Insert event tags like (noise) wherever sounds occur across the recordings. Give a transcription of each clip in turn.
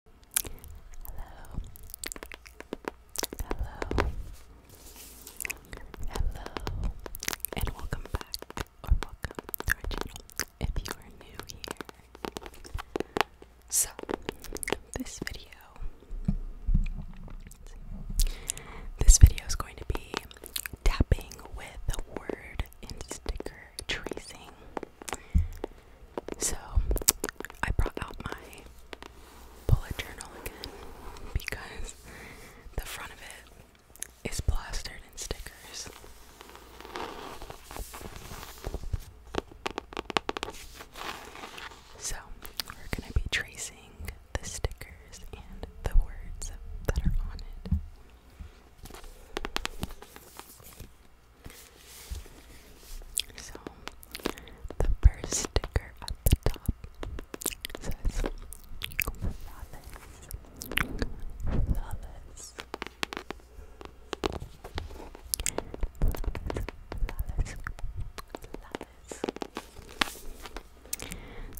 Hello. Hello. Hello. And welcome back or welcome to our channel if you are new here. So, this video this video is going to be tapping with the word and sticker tracing. So I brought out my bullet journal again because the front of it is plastered in stickers. So we're going to be tracing the stickers and the words that are on it. So, the first sticker at the top says flawless, flawless, flawless, flawless.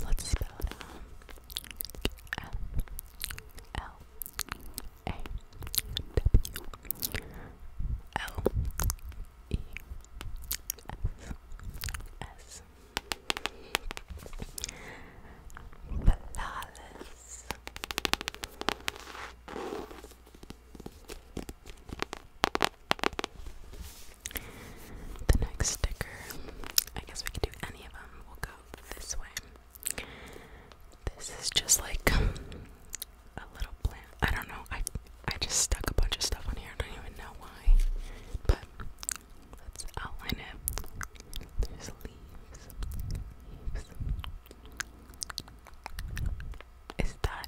Let's spell it out. F L a W L E S S Flawless the next sticker, I guess we could do any of them. We'll go this way. This is just like a little plant. I don't know. I I just stuck a bunch of stuff on here. I don't even know why. But let's outline it. There's leaves. Leaves. Is that?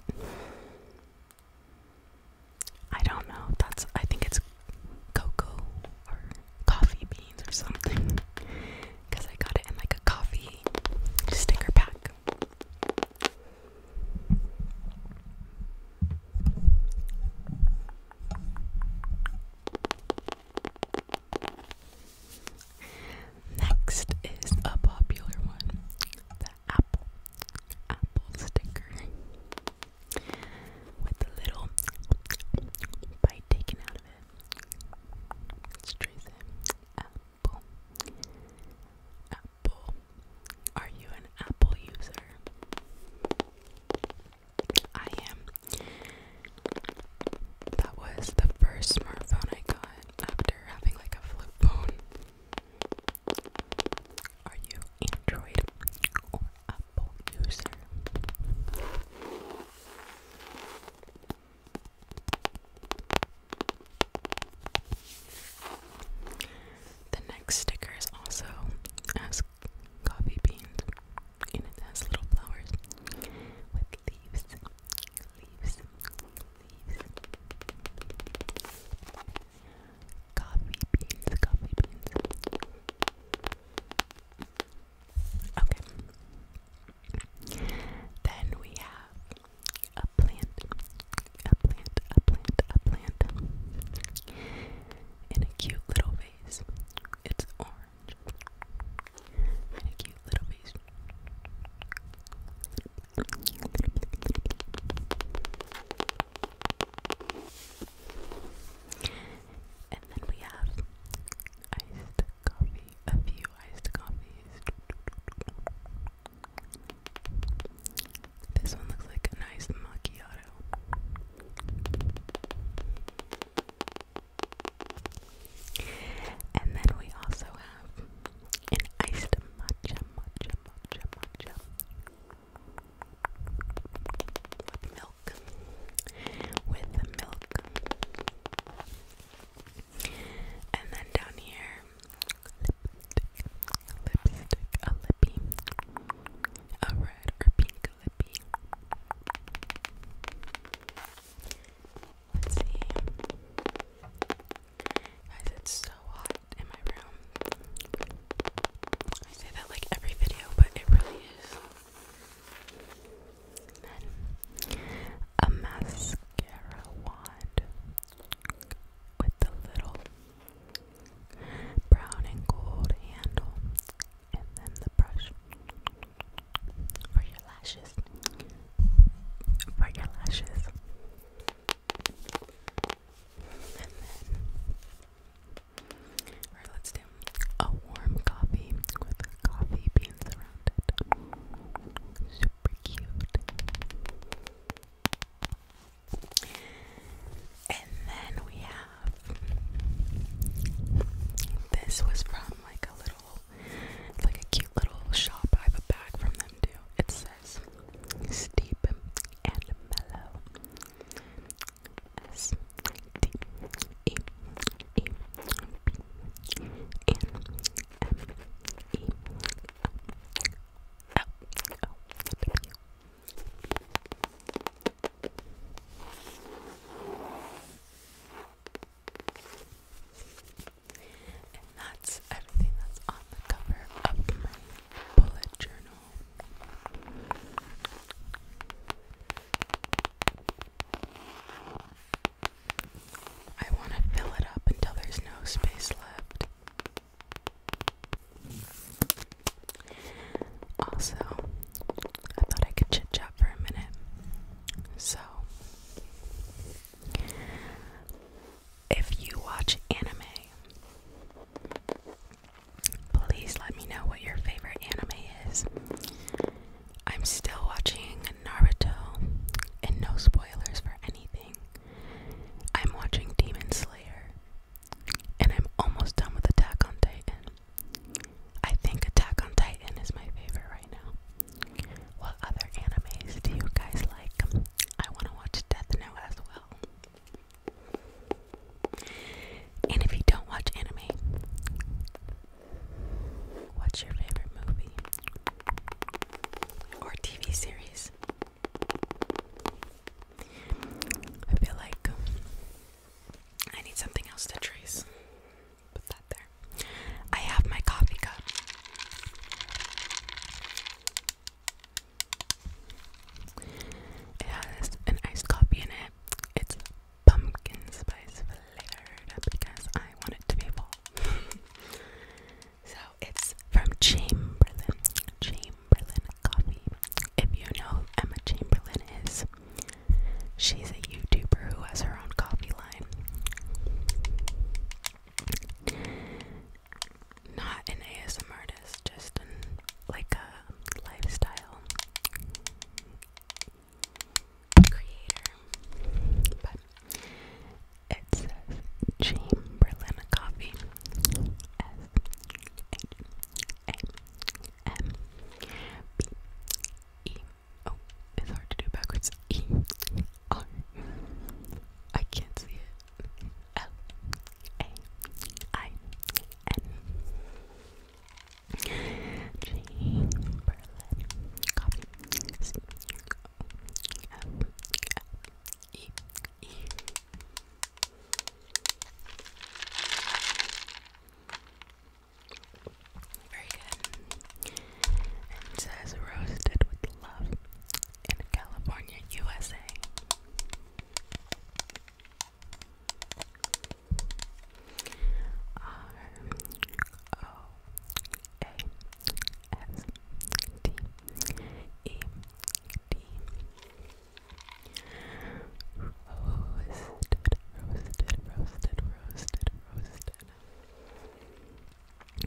I don't know. That's. I think it's cocoa or coffee beans or something. Cause I got it in like a coffee sticker pack. Next is a popular one the apple, apple sticker with the little bite taken out of it. Let's apple. Apple. Are you an Apple user? I am. That was the first smartphone I got after having like a flip phone. Are you Android or Apple user? The next sticker is also has coffee beans and it has little flowers with leaves, leaves, leaves. Coffee beans, coffee beans. Okay. Then we have a plant, a plant, a plant, a plant in a cute little vase. It's orange in a cute little vase. And then we have iced coffee, a few iced coffees. This one looks like a nice macchiato. And then we also have an iced matcha, matcha, matcha, matcha with milk, with milk. And then down here, lipstick, lipstick, a lippy, a red or pink lippy. Let's see. Guys, it's so hot in my room. I say that like every video, but it really is a mascara wand with the little brown and gold handle, and then the brush for your lashes. For your lashes. And then, alright, let's do a warm coffee with coffee beans around it super cute. And then we have this was from like a little like a cute little shop. I have a bag from them too. It says steep and mellow. M E L O W. And that's everything that's on the cover of my bullet journal. I want to fill it up until there's no space left. Also, I thought I could chit chat for a minute. So, if you watch anime, please let me know what your favorite anime is. I'm still watching Naruto, and no spoilers for anything. I'm watching Demon Slayer, and I'm almost done with Attack on Titan. I think Attack on Titan is my favorite right now. What other animes do you guys like? I want to watch Death Note as well. And if you don't watch anime, what's your favorite movie? or TV series. I feel like I need something else to trace. Put that there. I have my coffee cup. It has an iced coffee in it. It's pumpkin spice flavored because I want it to be full. (laughs) So it's from Chamberlain, Chamberlain Coffee. If you know Emma Chamberlain is, she's a YouTuber who has her own coffee line. Not an ASMR, artist, just like a lifestyle creator. It says Chamberlain Coffee. S H A M B E. Oh, it's hard to do backwards. E R. I can't see it. L A I N. Chamberlain Coffee. E E Very good. And says roasted with love in California, USA. R O A S T E D. Roasted, roasted, roasted, roasted, roasted.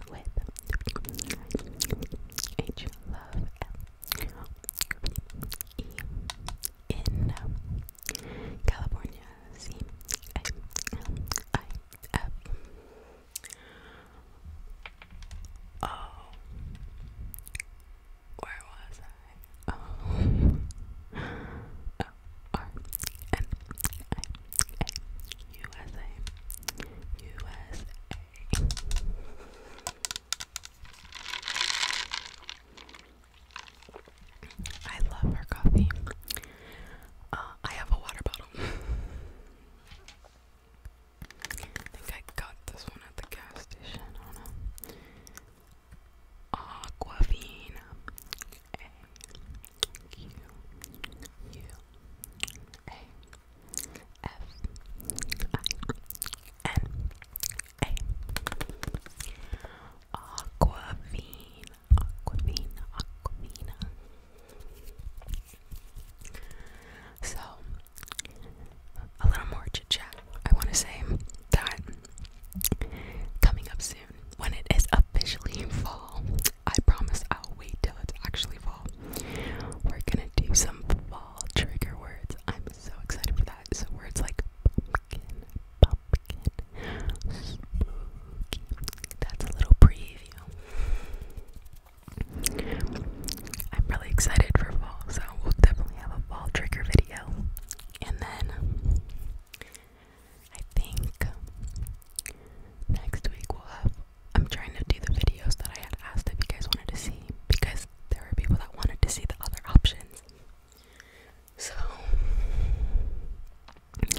With H love L E in California C A L I F Oh, where was I? love her coffee. Uh, I have a water bottle. (laughs) I think I got this one at the gas station. I don't know. Aquavina. A Q U A F I N A. Aquavina. Aquavina. Aquavina. So, a little more chit chat. I want to say that coming up soon, when it is officially (laughs) fall, I promise I'll wait till it's actually fall. We're gonna do some fall trigger words. I'm so excited for that. So, words like pumpkin, pumpkin, That's a little preview. I'm really excited for fall, so we'll definitely have a fall trigger video. And then I think next week we'll have. I'm trying to do the videos that I had asked if you guys wanted to see because there were people that wanted to see the other options. So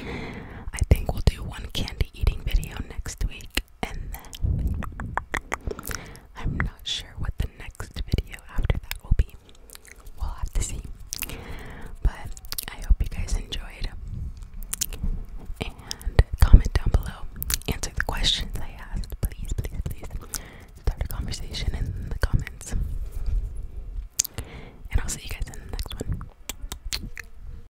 I think we'll do one candy eating video next week and then I'm not sure what the next video after that will be. We'll have to see. But I hope you guys enjoyed. And comment down below. Answer the questions I asked. Please, please, please. Start a conversation in the comments. And I'll see you guys in the next one.